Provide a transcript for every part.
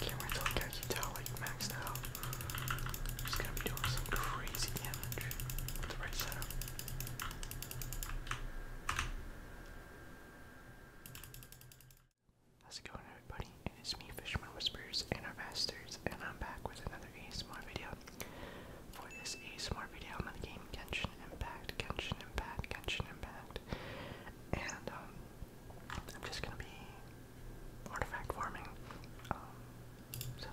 Can't wait till I get Utah like maxed out. Just gonna be doing some crazy damage with the right setup. How's it going everybody? It is me, Fisherman Whispers and our masters, and I'm back with another Smart video. For this Smart video, I'm on the game Kenshin Impact, Kenshin Impact, Kenshin Impact. And um, I'm just gonna be artifact farming. Um, so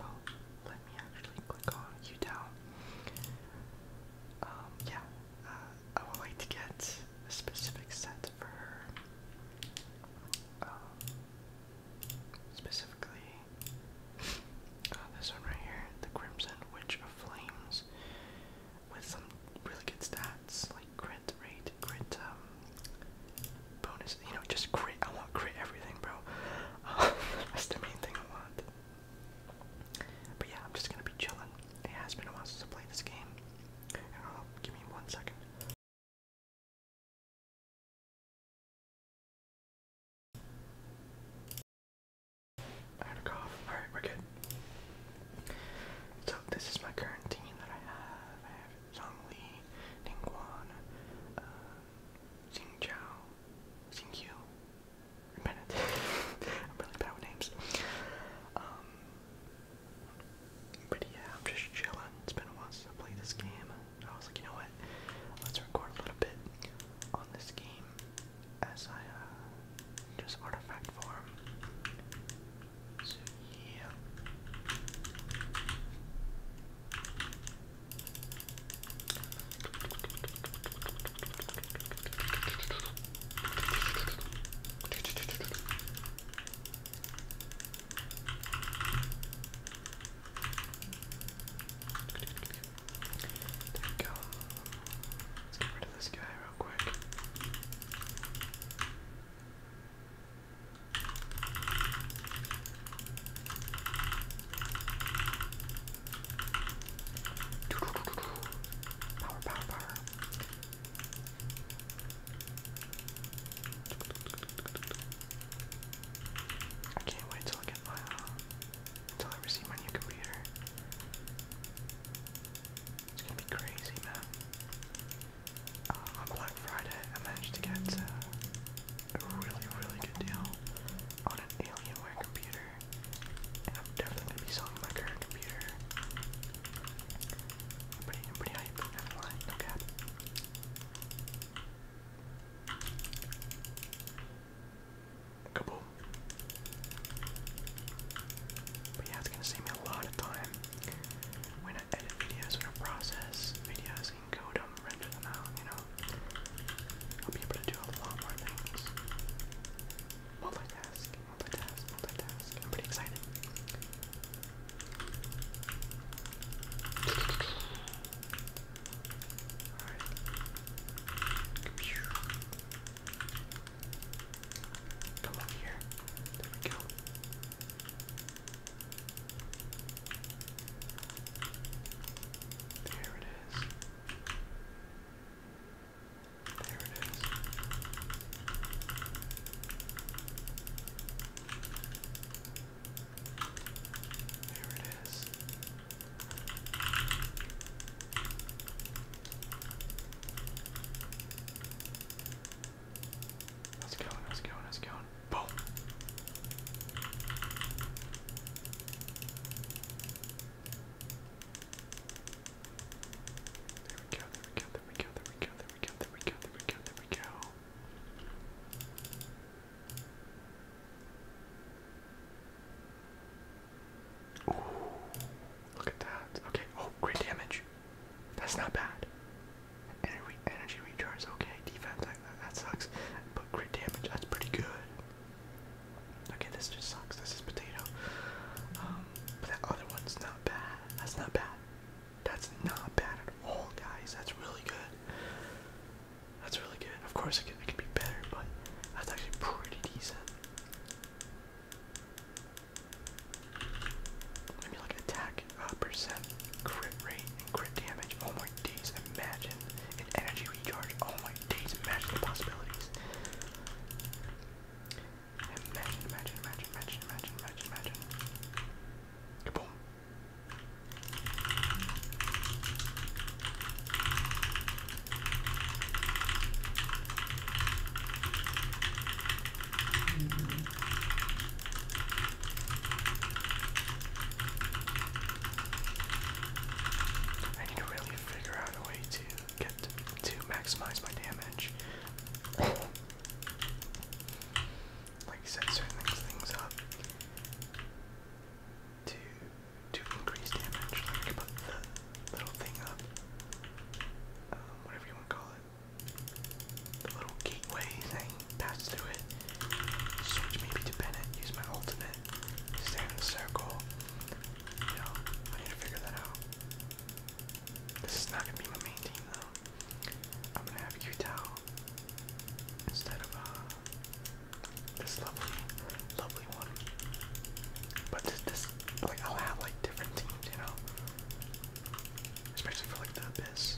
let me actually click on you down. Um, yeah, uh, I would like to get a specific set for um, specifically, uh, this one right here, the Crimson Witch of Flames, with some really good stats like crit rate, crit um, bonus. You know, just crit. I want crit everything, bro. that's the main thing I want. But yeah, I'm just gonna be chilling. It has been a while since I played this game. give me one second. I had we're good. So this is my current team that I have. I have Zhang Li, Ding uh, Xing Zhao, Xing Qiu, I'm really bad with names. Um, but yeah, I'm just chilling. It's been a while since I played this game. I was like, you know what? Let's record a little bit on this game as I uh, just artifact farm. So yeah. There we go. Let's get rid of this guy real quick. Power, power, power. I can't wait till I get my until uh, I receive my new computer. It's gonna be crazy, man. Uh, on Black Friday, I managed to get uh, a really, really good deal on an Alienware computer, I'm definitely gonna be selling my current computer. I'm pretty, I'm pretty Kaboom. But yeah, it's gonna save me a lot of time. When I edit videos, when process videos and code them, render them out, you know. I'll be able to do a lot more things. Multitask, multitask, multitask. I'm pretty excited. Alright. Come up here. There we go. There it is. There it is. There it is. Let's go, let's go, let's go. Boom. There we go, there we go, there we go, there we go, there we go, there we go, there we go, there we go. Ooh, look at that. Okay, oh, great damage. That's not bad. Energy, energy recharge, okay. Defense, that sucks. But great damage, that's pretty good. Okay, this just sucks. This is potato. Um, but that other one's not bad. That's not bad. That's not bad at all, guys. That's really good. That's really good. Of course, it could, it could be better, but that's actually pretty decent. I mean, like attack uh, percent, crit rate, crit damage. Oh my days, imagine energy recharge. Oh my days, imagine the possibilities. Imagine, imagine, imagine, imagine, imagine, imagine, imagine. Kaboom. I need to really figure out a way to get to, maximize my damage like you certain things, up to to increase damage. Like put the little thing up, um, whatever you want to call it, the little gateway thing, pass through it, switch maybe to Bennett, use my ultimate, stand in circle. You know, I need to figure that out. This is not gonna be my main team though. I'm gonna have Utah instead of uh, this lovely, lovely one. But this, like, i like different teams, you know, especially for like the abyss.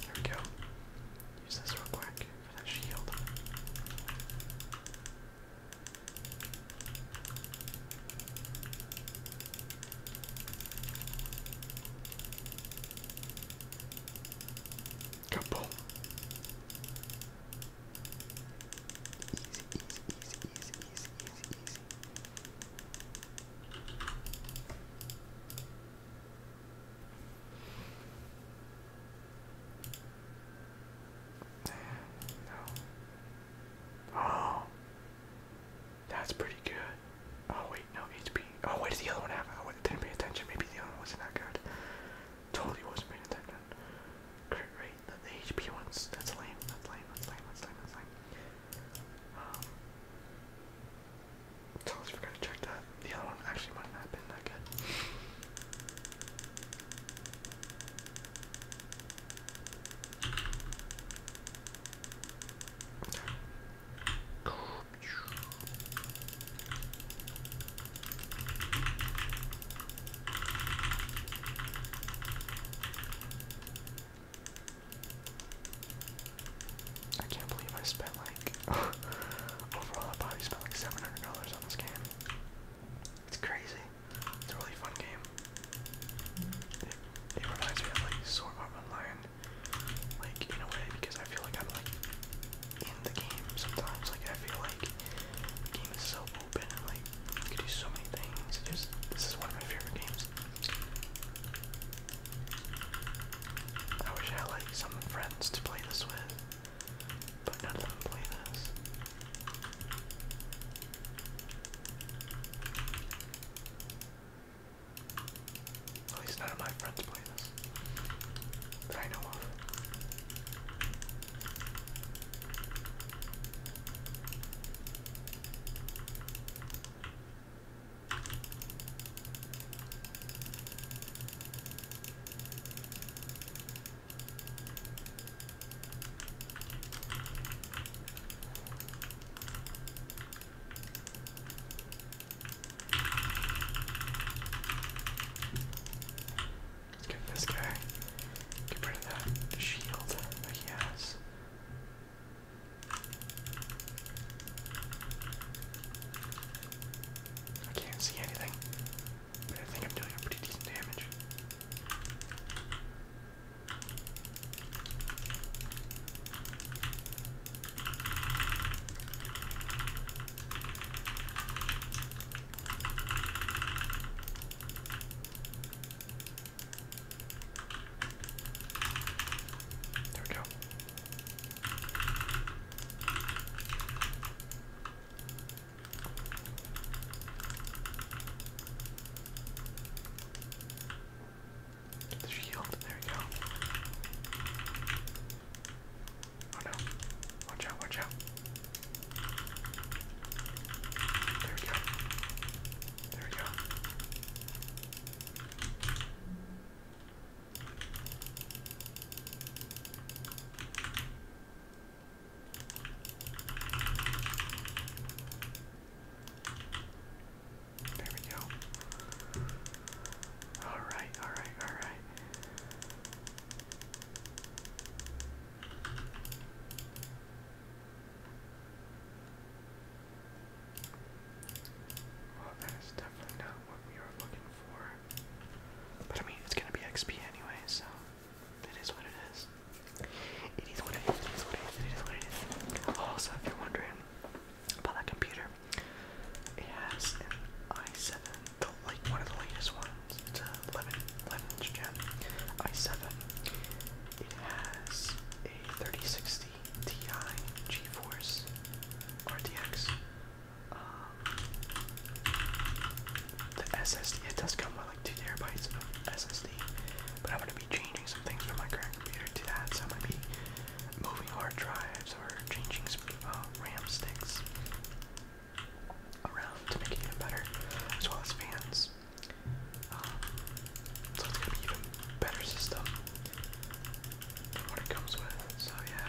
There we go. Use this real quick for that shield. Kaboom! Easy, easy, easy, easy, easy, easy, easy. No. Oh. That's pretty good. Oh wait, no HP. Oh, what does the other one have? Oh, I didn't pay attention. Maybe the other one wasn't that good. Totally wasn't paying attention. Crit rate. The, HP ones. That's lame. That's lame. That's lame. That's lame. Um, forgot to check that. The other one actually might not have been that good. I can't believe I spent like overall I probably spent like seven hundred dollars on this game. It's crazy. It's a really fun game. It, reminds me of like Sword Art Online, like in a way because I feel like I'm like in the game sometimes. Like I feel like the game is so open and like you can do so many things. this is one of my favorite games I wish I had like some friends to play this with, but none of them play this. At least none of my friends play this. That I know of. Let's get this guy. Get rid of that shield that he has. I can't see anything, but I think I'm doing a pretty decent damage. There we go. Get the shield. There we go. Oh no. Watch out, watch out. There we go. There we go. There we go. All right, all right, all right that is definitely not what we are looking for. But I mean, it's gonna be XP anyway, so it is what it is. It is what it is, it is what it is, Also, if you're wondering about that computer, it has an i7, the, like one of the latest ones. It's a 11, 11th gen i7. It has a 3060 CTI GeForce RTX. Um, the SSD. It does come with like two terabytes of SSD, but I'm gonna be changing some things from my current computer to that. So i might be moving hard drives or changing some uh, RAM sticks around to make it even better, as well as fans. Um, so it's gonna be even better system what it comes with. So yeah.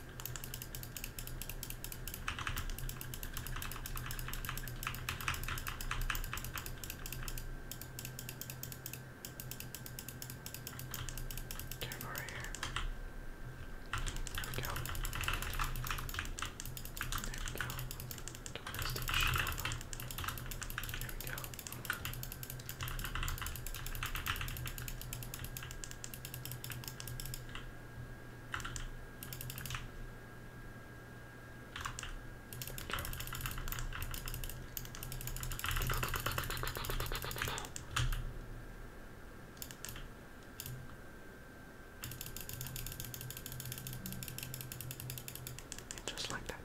Careful right here. There we go. There we go. Don't miss the shield. There we go. There and just like that.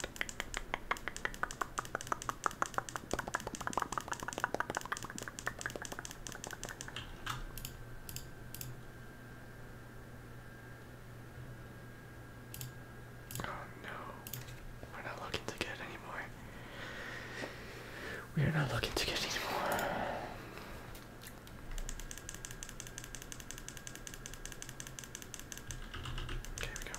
Oh no, we're not looking to get anymore. We are not looking to get anymore. Okay, we go.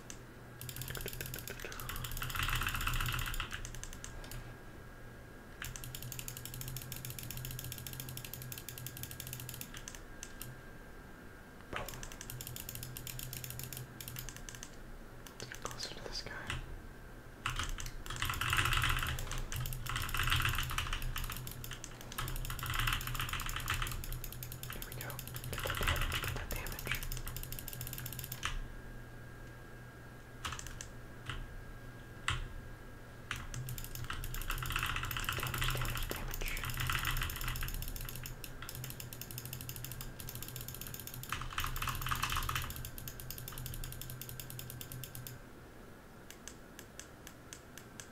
Boom. Let's get closer to this guy. There we go did that damage. Damage, damage, damage. There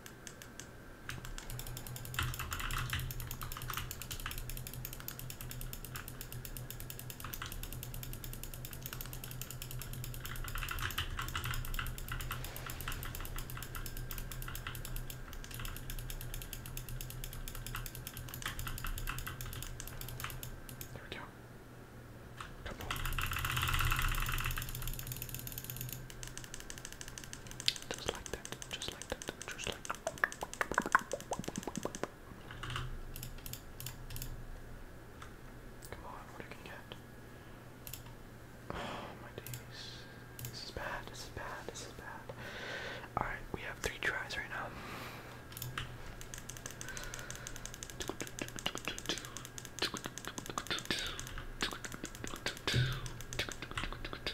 we go. Couple. Just like that, just like that, just like that. Come on, what are you get? Oh my days. This is bad, this is bad, this is bad. Alright, we have three tries right now.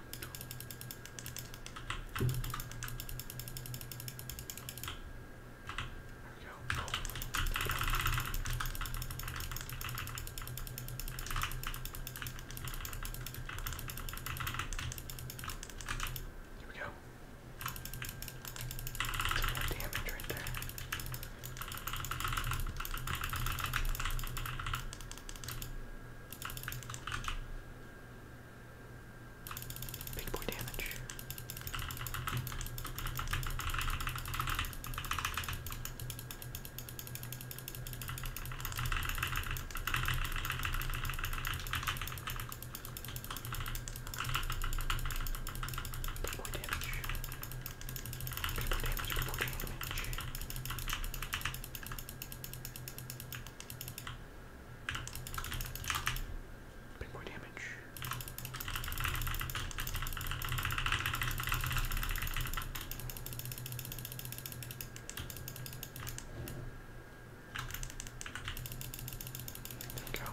There we go. Oh, there we go. There we go. Some more damage right there. Big boy damage. Big boy damage. Big boy damage, big boy damage. Bit more damage. There we go.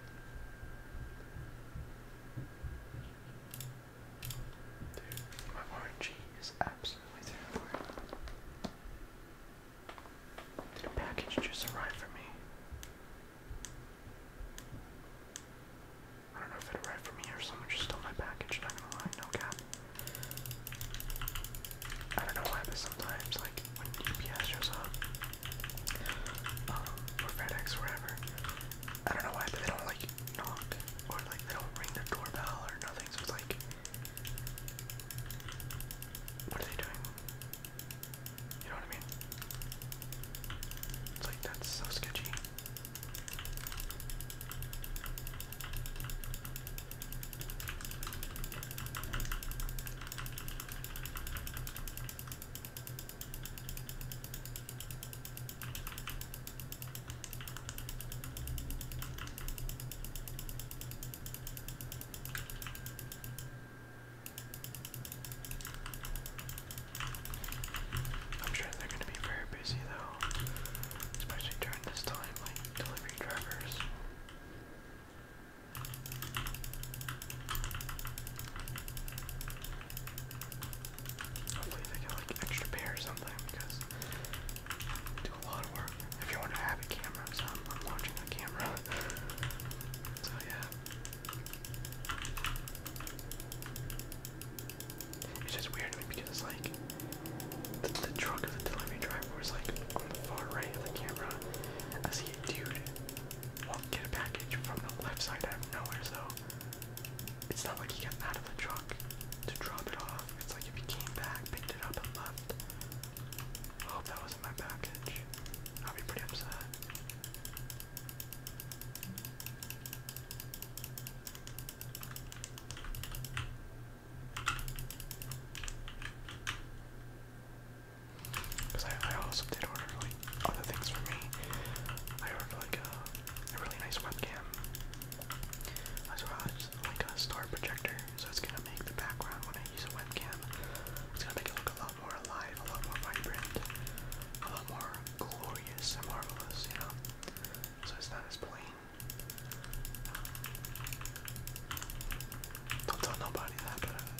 Dude, my RNG is absolutely a package just arrive for me? I don't know if it arrived for me or someone just stole my package, not gonna lie, no cap. I don't know why, but sometimes, like, when UPS shows up, um, or FedEx, wherever. I don't know why, but they don't like knock or like they don't ring their doorbell or nothing. So like, what are they doing? You know what I mean? It's like that's so sketchy. I'm sure they're going to be very busy though, especially during this time, like delivery drivers. Hopefully they get like extra pay or because do a lot of work. If you want to have a camera, so I'm, launching a camera. so yeah. It's just weird to me because like the, truck of the delivery driver was like on the far right of the camera. I see a dude won't get a package from the left side out of nowhere, so it's not like he got out of the truck to drop it off. It's like if he came back, picked it up, and left. I hope that wasn't my package. I'll be pretty upset. Because I, also did order like other things for me. I ordered like a, really nice webcam, as well as like a star projector. So it's gonna make the background when I use a webcam, it's gonna make it look a lot more alive, a lot more vibrant, a lot more glorious and marvelous, you know. So it's not as plain. Don't tell nobody that, uh,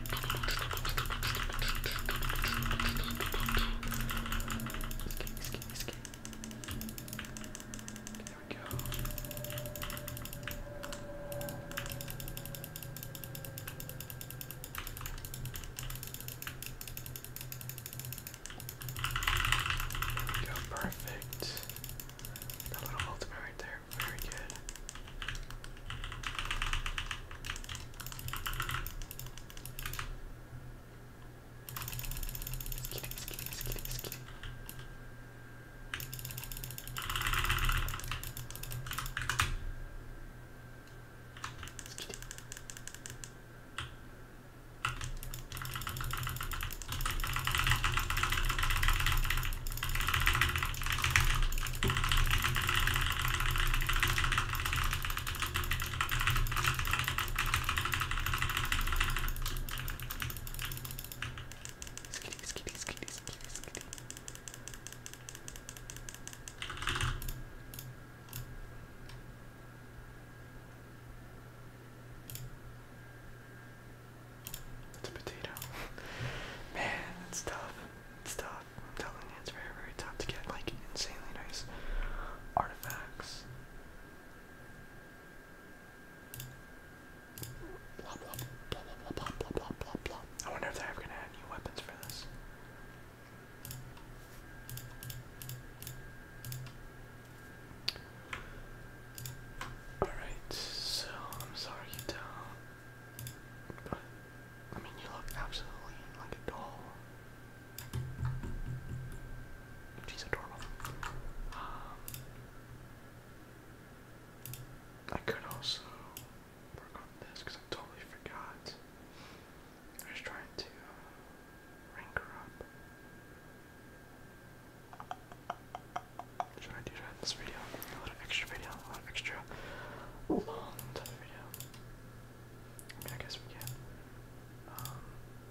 There we go. There we go, perfect. That little ultimate right there there. Very good. Skitty, skitty, skitty, skitty. Skitty. Skitty, It's a potato. Man, it's tough. It's tough. I'm telling you, it's very, very tough to get like insanely nice artifacts. Blah blah blah blah blah blah blah blah I wonder if they're ever gonna add new weapons for this. Alright, so I'm sorry you don't I mean, you look absolutely like a doll. She's adorable. Um, I could also work on this because I totally forgot. I was trying to uh, rank her up. Should I do this video? A little extra video, a little extra long I guess we can. Um,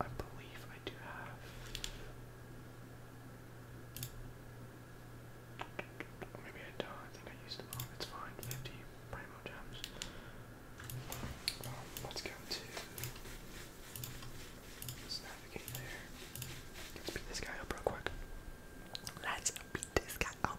I believe I do have. Maybe I don't. I think I used them all. It's fine. 50 Primo gems. Um, let's go to. navigate there. Let's beat this guy up real quick. Let's beat this guy up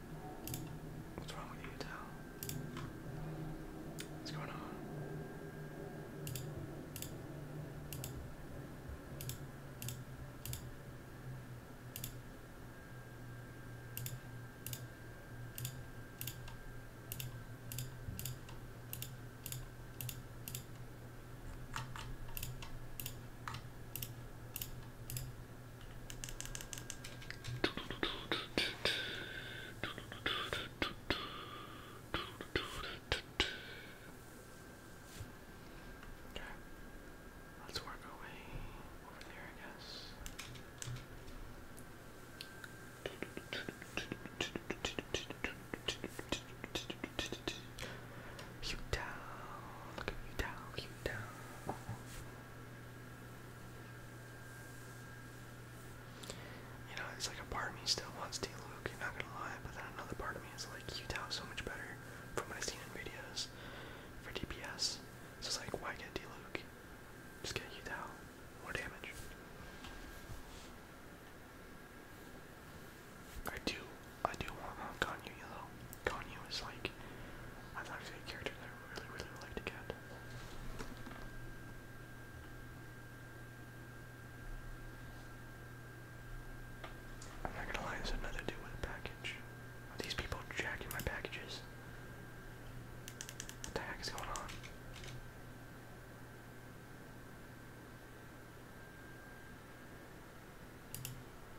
What's wrong with you, Tal? What's going on? Okay. Let's work our way over there, I guess. You down, you down, you down. You know, it's like a part of me still wants D. Luke, you're not gonna lie, but then another part of me is like, Utah is so much better from what I've seen in videos for DPS. So it's like, why get D. Luke? Just get Utah. More damage. I do, I do want Mount Kanye though. Kanye was like, I thought that's actually a character that I really, really would like to get. I'm not gonna lie, there's another dude with a package. Are these people jacking my packages? What the heck is going on?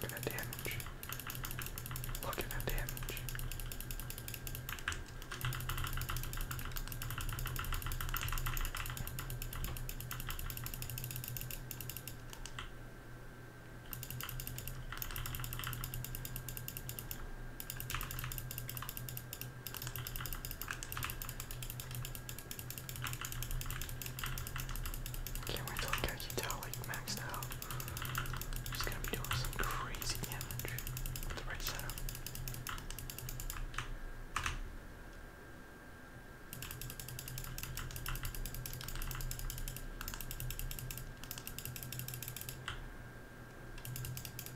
Look at that damage. Look at that damage. Can't wait till Kakita like maxed out. She's gonna be doing some crazy damage with the right setup.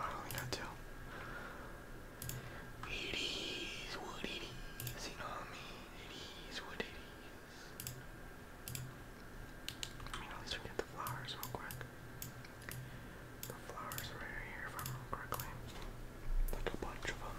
Oh, we got it is what it is, you know what I mean? It is what it is. I mean, let's forget the flowers real quick. The flowers right here, if I remember correctly. Like a bunch of them.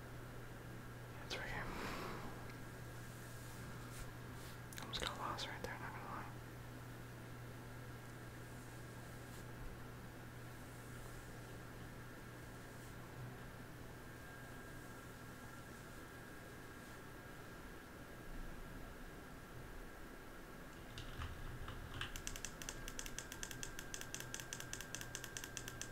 That's right I almost got lost right there, not gonna lie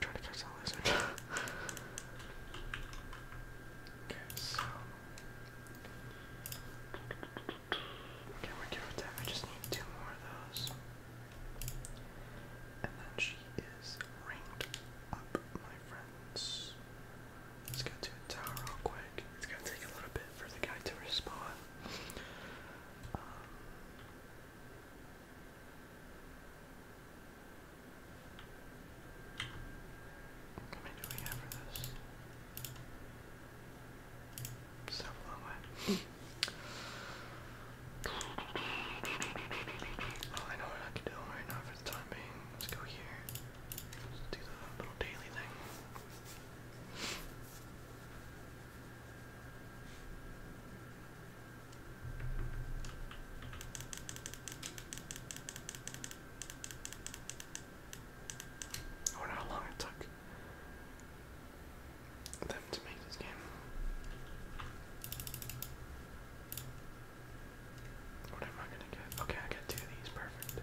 Trying to catch that lizard. okay, so Okay, we're good with that. I just need two more of those. And then she is ranked up, my friends. Let's go to a tower real quick. It's gonna take a little bit for the guy to respond. Um, how many do for this? So long way. I know what I can do right now for the time being. Let's go here. Let's do the little daily thing. I wonder how long it took them to make this game. What am I gonna get? Okay, I got two of these, perfect.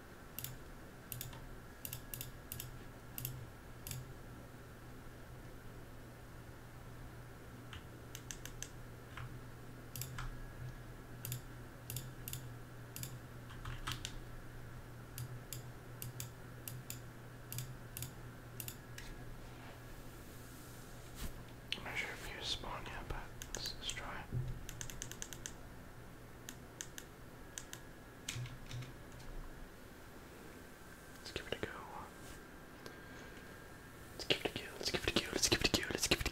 I'm not sure if you spawn yet, but let's, let's try. Let's give it a go. Let's give it a go. Let's give it a go. Let's give it a go. Let's give it a go. Let's give it a go.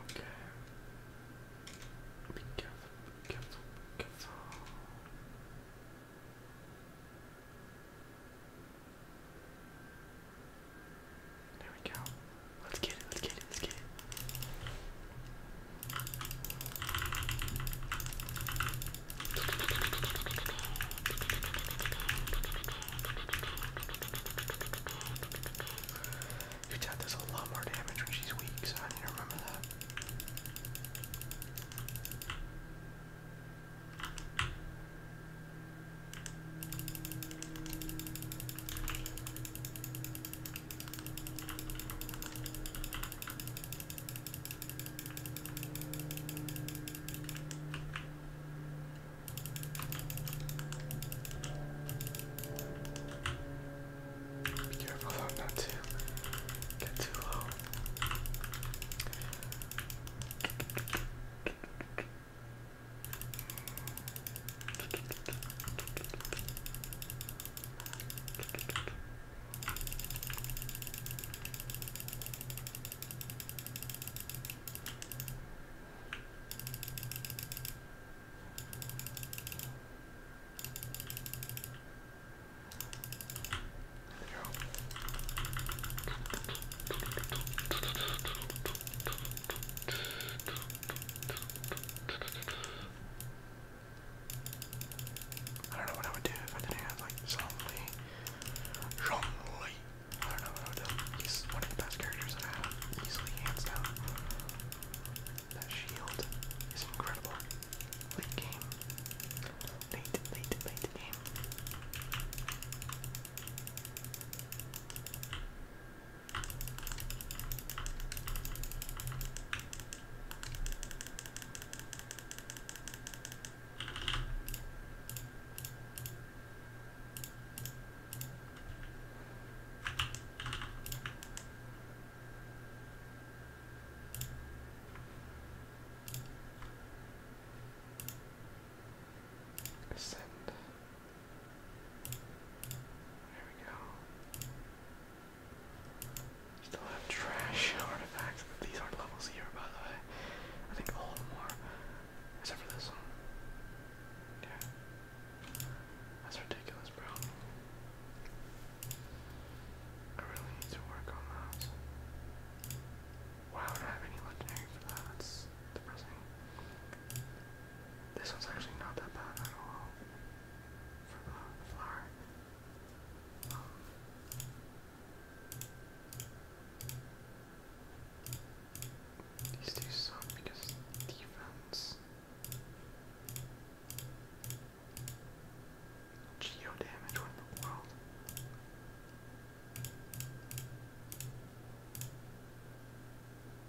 Okay. Be careful, be There we go. Let's get it, let's get it, let's get it. Your dad does a lot more damage when she's weak, so I need to remember that. Be careful not to get too low. I don't know what I would do if I didn't have like zombie, zombie. He's one of the best characters I have, easily hands down. That shield is incredible. Late game. Late, late, late game. Send. There we go. Still have trash artifacts. These are levels here, by the way. I think all of them are. Except for this one. Yeah. That's ridiculous, bro. I really need to work on that. Wow, don't have any legendary for that. That's depressing. This one's actually not that bad at all. For the flower. Um, these two suck because defense. Geo damage, what in the world?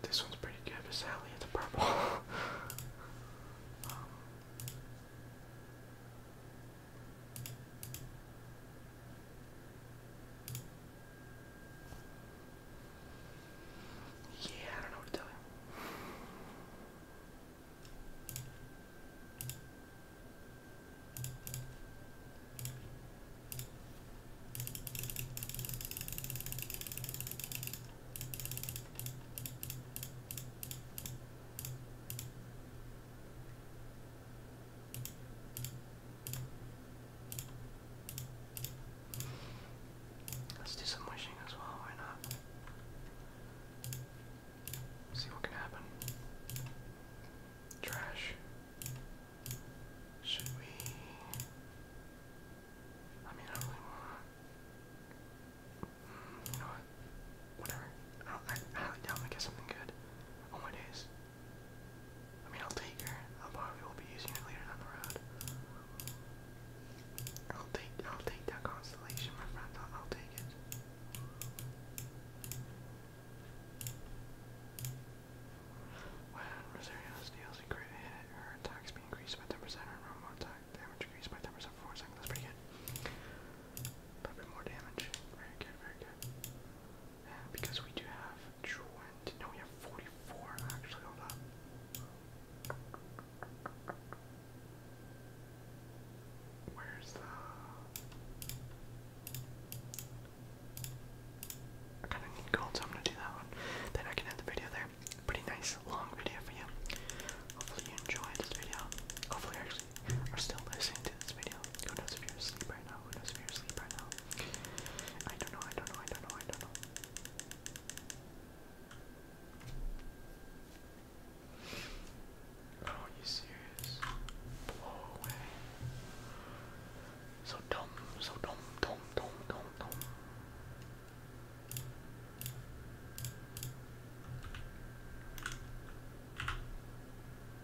This one's pretty good, but sadly it's purple. um, yeah, I don't know what to tell you. Let's do some wishing as well, why not? See what can happen. Trash. Should we? I mean, I really want mm, You know what? Whatever. I, I highly doubt we get something good. Oh my days. I mean, I'll take her. I probably will be using her later down the road. I'll take, I'll take that constellation, my friend. I'll, I'll take it. When Rosario's deals a crit her attack speed increased by 10%, her attack damage increased by 10% for 4 seconds. That's pretty good. a bit more damage. Very good, very good because we do have twenty. No, we have forty-four. Actually, hold up. Where's the? I kind of need gold, so I'm gonna do that one. Then I can end the video there. Pretty nice long video for you. Hopefully you enjoyed this video. Hopefully I actually are still listening to this video. Who knows if you're asleep right now? Who knows if you're asleep right now? I don't know, I don't know, I don't know, I don't know. Oh, you serious? Blow away. So dumb, so dumb, dumb, dumb, dumb, dumb.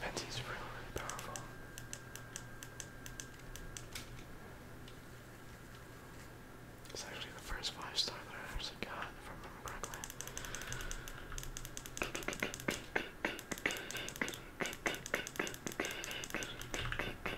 Venti's really, really powerful. It's actually the first five star that I actually got, from I remember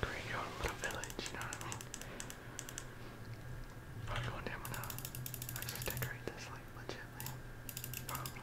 Create your own little village, you know what I mean? Probably oh, going just decorate this like legitly. Probably.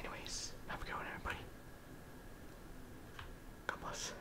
Anyways, have a good one, everybody. God bless.